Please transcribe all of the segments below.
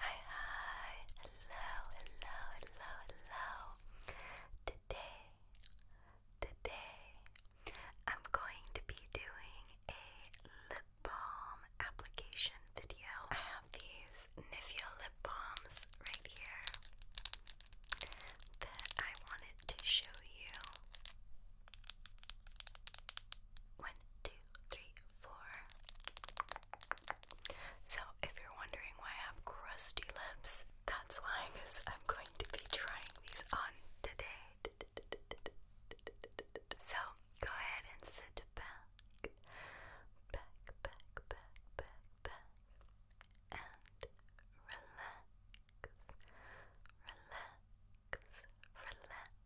Hi, hi, hello, hello, hello, hello. Today, today, I'm going to be doing a lip balm application video. I have these Nivea lip balms right here that I wanted to show you. One, two, three, so, if you're wondering why I have crusty lips, that's why, because I'm going to be trying these on today. So, go ahead and sit back, back, back, back, back, back, and relax, relax, relax.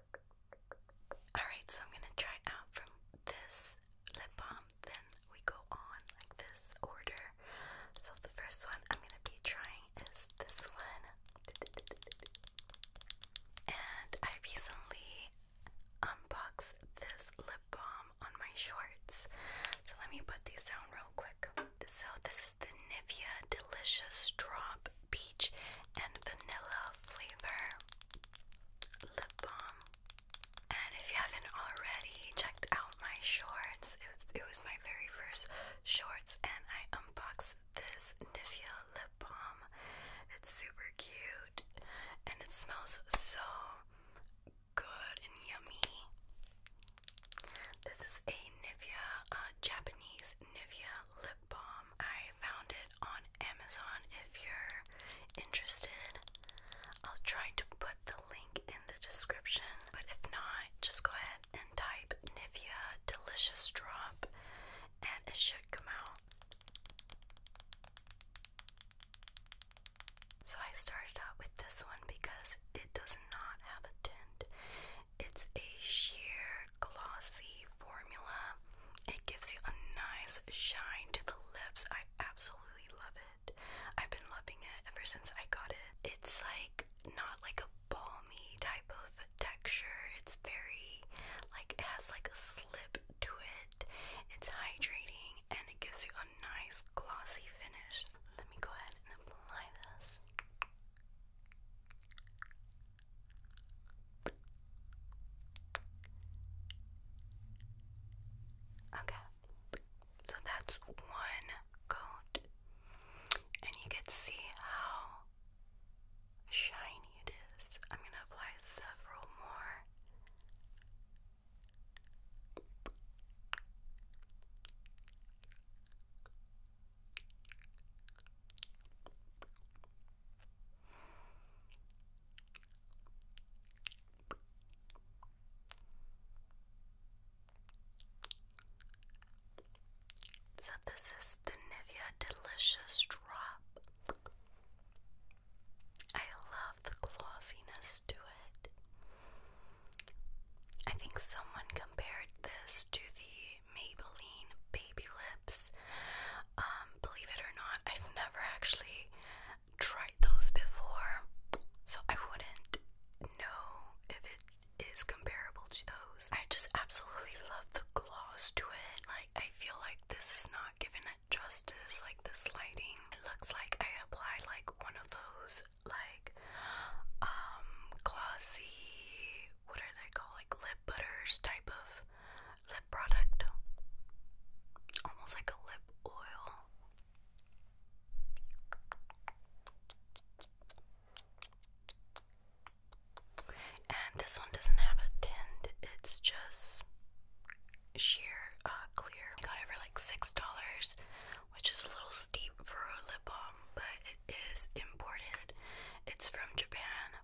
Alright, so I'm gonna try out from this lip balm, then we go on like this order. So the first one I'm gonna be trying is this one. And I recently unboxed this lip balm on my shorts. So let me put these down real quick. So this is the Nivea Delicious Drop Peach and Vanilla Flavor Lip Balm. And if you haven't already checked out my shorts, it was, my very first shorts, and I unboxed this Nivea lip balm. It's super cute, and it smells so good and yummy. This is a Nivea, uh, Japanese Nivea lip balm. Um, I found it on Amazon if you're interested. I'll try to put the link in the description, but if not, just go ahead and type Nivea Delicious Drop and it should come out. So I started out with this one because it does not have a tint. It's a sheer glossy formula. It gives you a nice shine to the lips. I absolutely love it. I've been loving it ever since I got it. It's like not like a balmy type of texture. It's very like it has like a slip to it. It's hydrating and it gives you a nice glossy finish. Let me go ahead and apply this. Okay, so that's one coat, and you can see how shiny it is. I'm going to apply several more. So, this is the Nivea Delicious Drop. I love the glossiness to it. I think someone compared this to the Maybelline Baby Lips. Um, believe it or not, I've never actually tried those before, so I wouldn't know if it is comparable to those. I just absolutely love the gloss to it. Like, I feel like this is not giving it justice, like this lighting. It looks like I applied like one of those like um glossy what are they called? Like lip butters type of lip product. Almost like a lip oil. And this one doesn't have a tint, it's just sheer uh, clear. I got it for like $6, which is a little steep for a lip balm, but it is imported. It's from Japan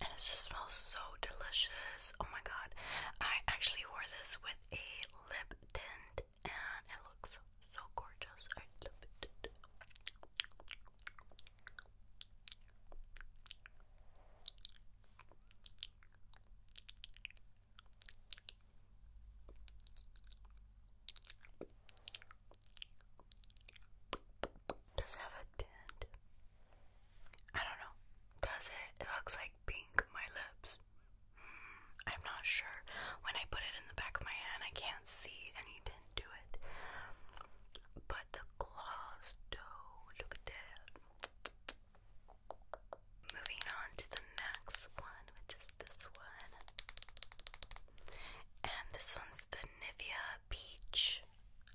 and it just smells so delicious. Oh my god, I actually wore this with a lip tint, and it looks so gorgeous. I love it. Does it have a tint? I don't know. Does it? It looks like pink my lips. Hmm, I'm not sure. When I put it in the back of my hand, I can't see any tint to it. But the gloss, though, look at Moving on to the next one, which is this one. And this one's the Nivea Peach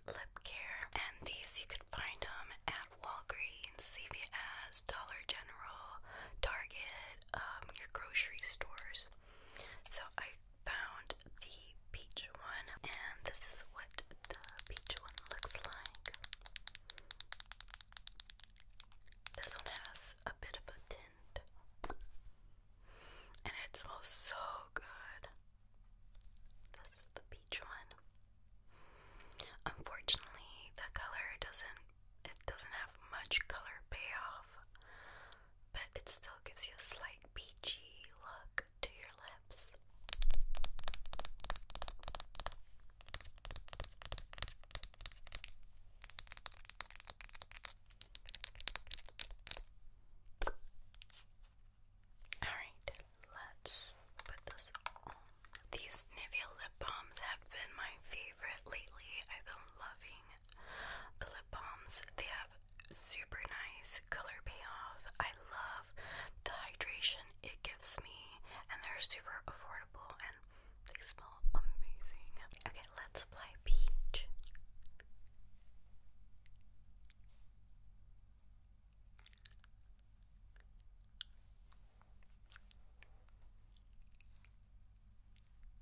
Lip Care, and these you could find them at Walgreens, CVS, Dollar General, Target, um, your grocery stores. So I found the peach one, and this is what the peach one looks like. This one has a bit of a tint. And it smells so good. This is the peach one. Unfortunately, the color doesn't it doesn't have much color payoff, but it still gives you a slight peachy look to your lips. Alright, let's put this on. These Nivea lip balms have been my favorite lately. I've been loving the lip balms. They have super nice color payoff. I love the hydration it gives me, and they're super affordable and they smell amazing. Okay, let's play Peach.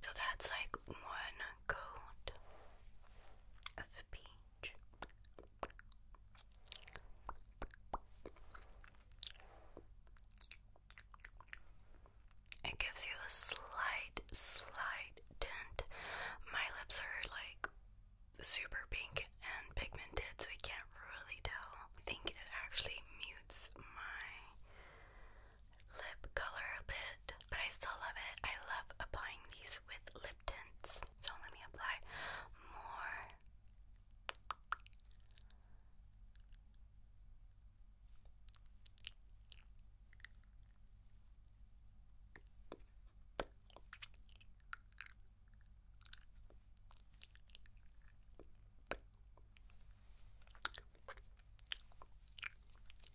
So that's like one coat of peach. It gives you a slight, slight tint. My lips are like super pink and pigmented, so we can't really tell. I think it actually mutes my lip color a bit, but I still love it. I love applying these with lip tints. So let me apply more.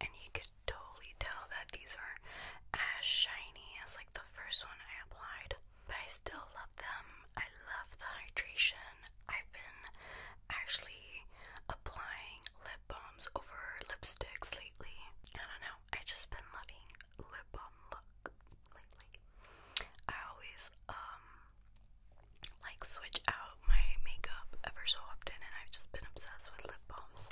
And you could totally tell that these are as shiny as like the first one I applied. But I still love them. I love the hydration. I've been actually applying lip lip balms over lipsticks lately. I do I just been loving lip balm look lately. I always um like switch out my makeup ever so often, and I've just been obsessed with lip balms.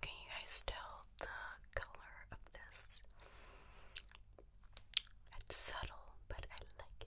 Can you guys tell the color of this? It's subtle, but I like it.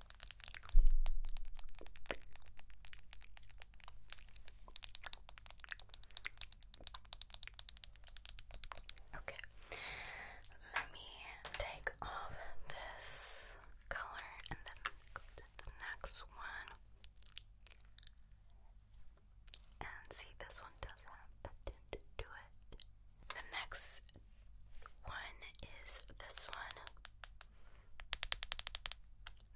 Okay, let me take off this color and then the next one. And see, this one does have a it. The next one is this one.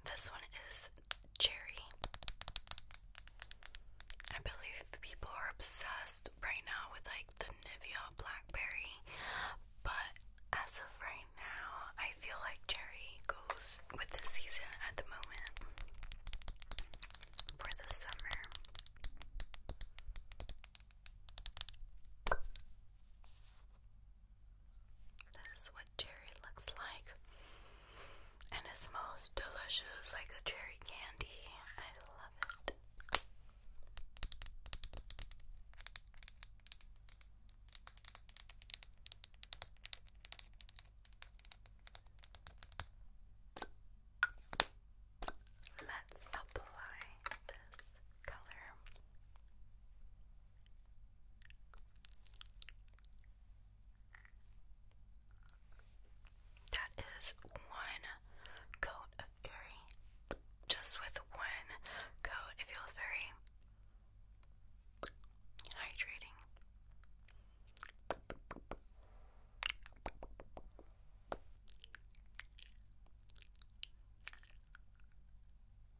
This one is cherry. I believe people are obsessed right now with like the Nivea blackberry, but as of right now, I feel like cherry goes with the season at the moment for the summer. This is what cherry looks like. And it smells delicious like a cherry candy. I love it. Let's apply this color. That is one coat of curry. Just with one coat, it feels very hydrating.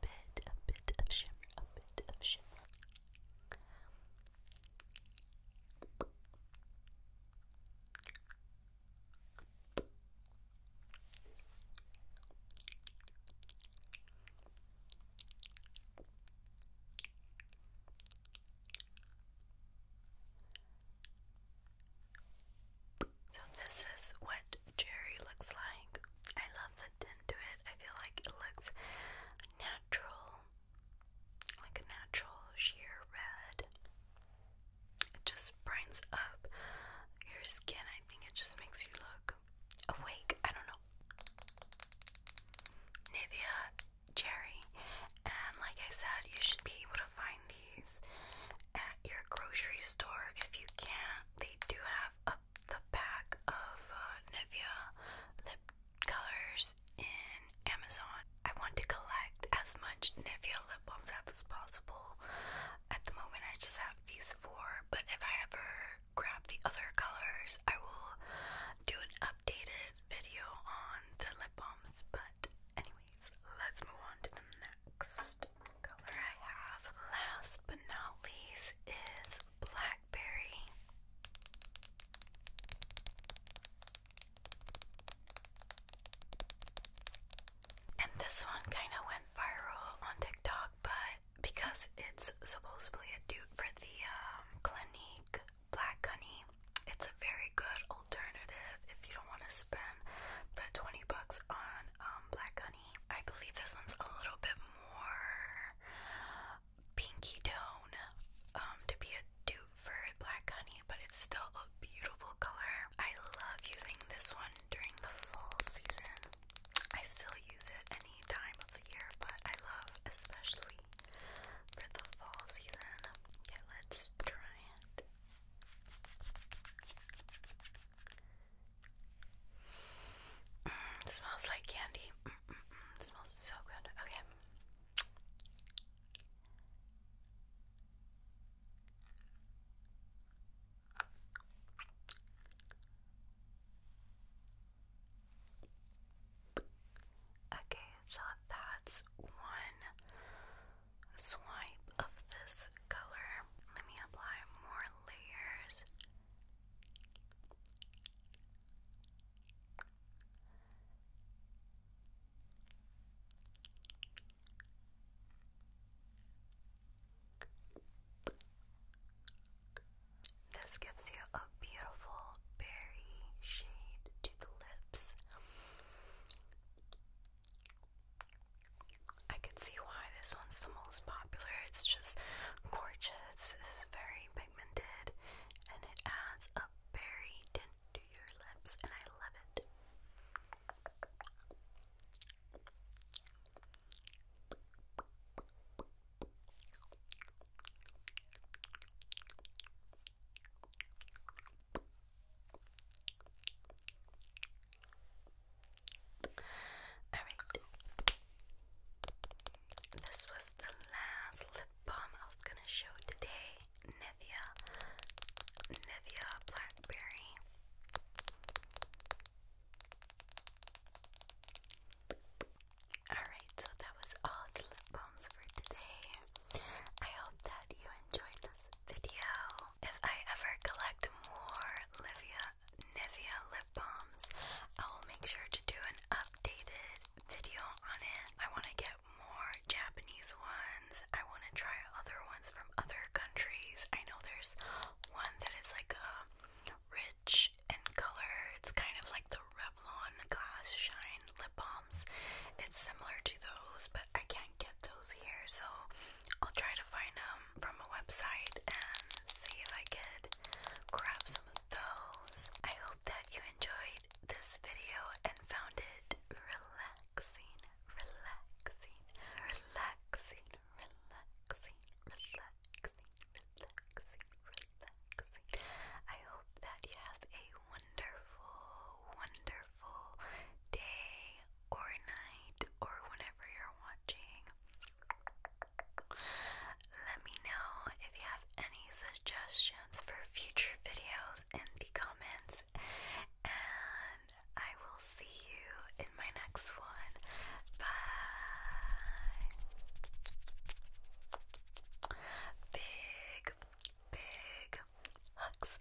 bit, a bit of shimmer, a bit of shimmer. So, this is what Jerry looks like. I love the attend it. I feel like it looks natural, like a natural sheer red. It just brightens up your skin. I think it just makes you look awake. I don't know. Nivea Cherry. And like I said, you should be able to find these at your grocery store if you can. They do have a the pack of uh, Nivea lip colors in Amazon. I want to collect as much Nivea lip balms as possible. At the moment, I just have these four, but if I ever grab the other colors, I will do an updated video on the lip balms. But, anyways, let's move on to the next next color I have, last but not least, is Blackberry. And this one kind of went viral on TikTok, but because it's supposedly a dupe for the um, Clinique Black Honey, it's a very good alternative if you don't want to spend the 20 bucks on um, Black Honey. I believe this one's a little bit more pinky tone um, to be a dupe for black honey, but it's still a beautiful color. I love using this one during the fall season. I still use it any time of the year, but I love especially for the fall season. Okay, let's try it smells like candy. smells so good. Okay. Okay, so that's one swipe of this color. Let me apply more this gives you a beautiful berry shade to the lips. I can see why this one's the most popular. It's just gorgeous. It's very pigmented and it adds a berry tint to your lips and I love it. Alright. This was the last lip balm I was gonna show today. Nivea. Nivea Blackberry. Alright, so that was all the lip balms for today. I hope that you enjoyed this video. If I ever collect more Livia Nivea lip balms, I will make sure to do an updated video on it. I want to get more Japanese ones. I want to try other ones from other countries. I know there's one that is like a rich in color. It's kind of like the Revlon Glass Shine lip balms. It's similar to those, but I can't get those here, so I'll try to find them from a website and see if I could grab some of those. I hope that you enjoyed this video and found it relaxing, relaxing, relaxing, relaxing, relaxing, relaxing, relaxing. I hope that you have a wonderful, wonderful day or night or whenever you're watching. Let me know if you have any suggestions for future videos in the comments, and I will see you in my next one. Bye! Big, big hugs.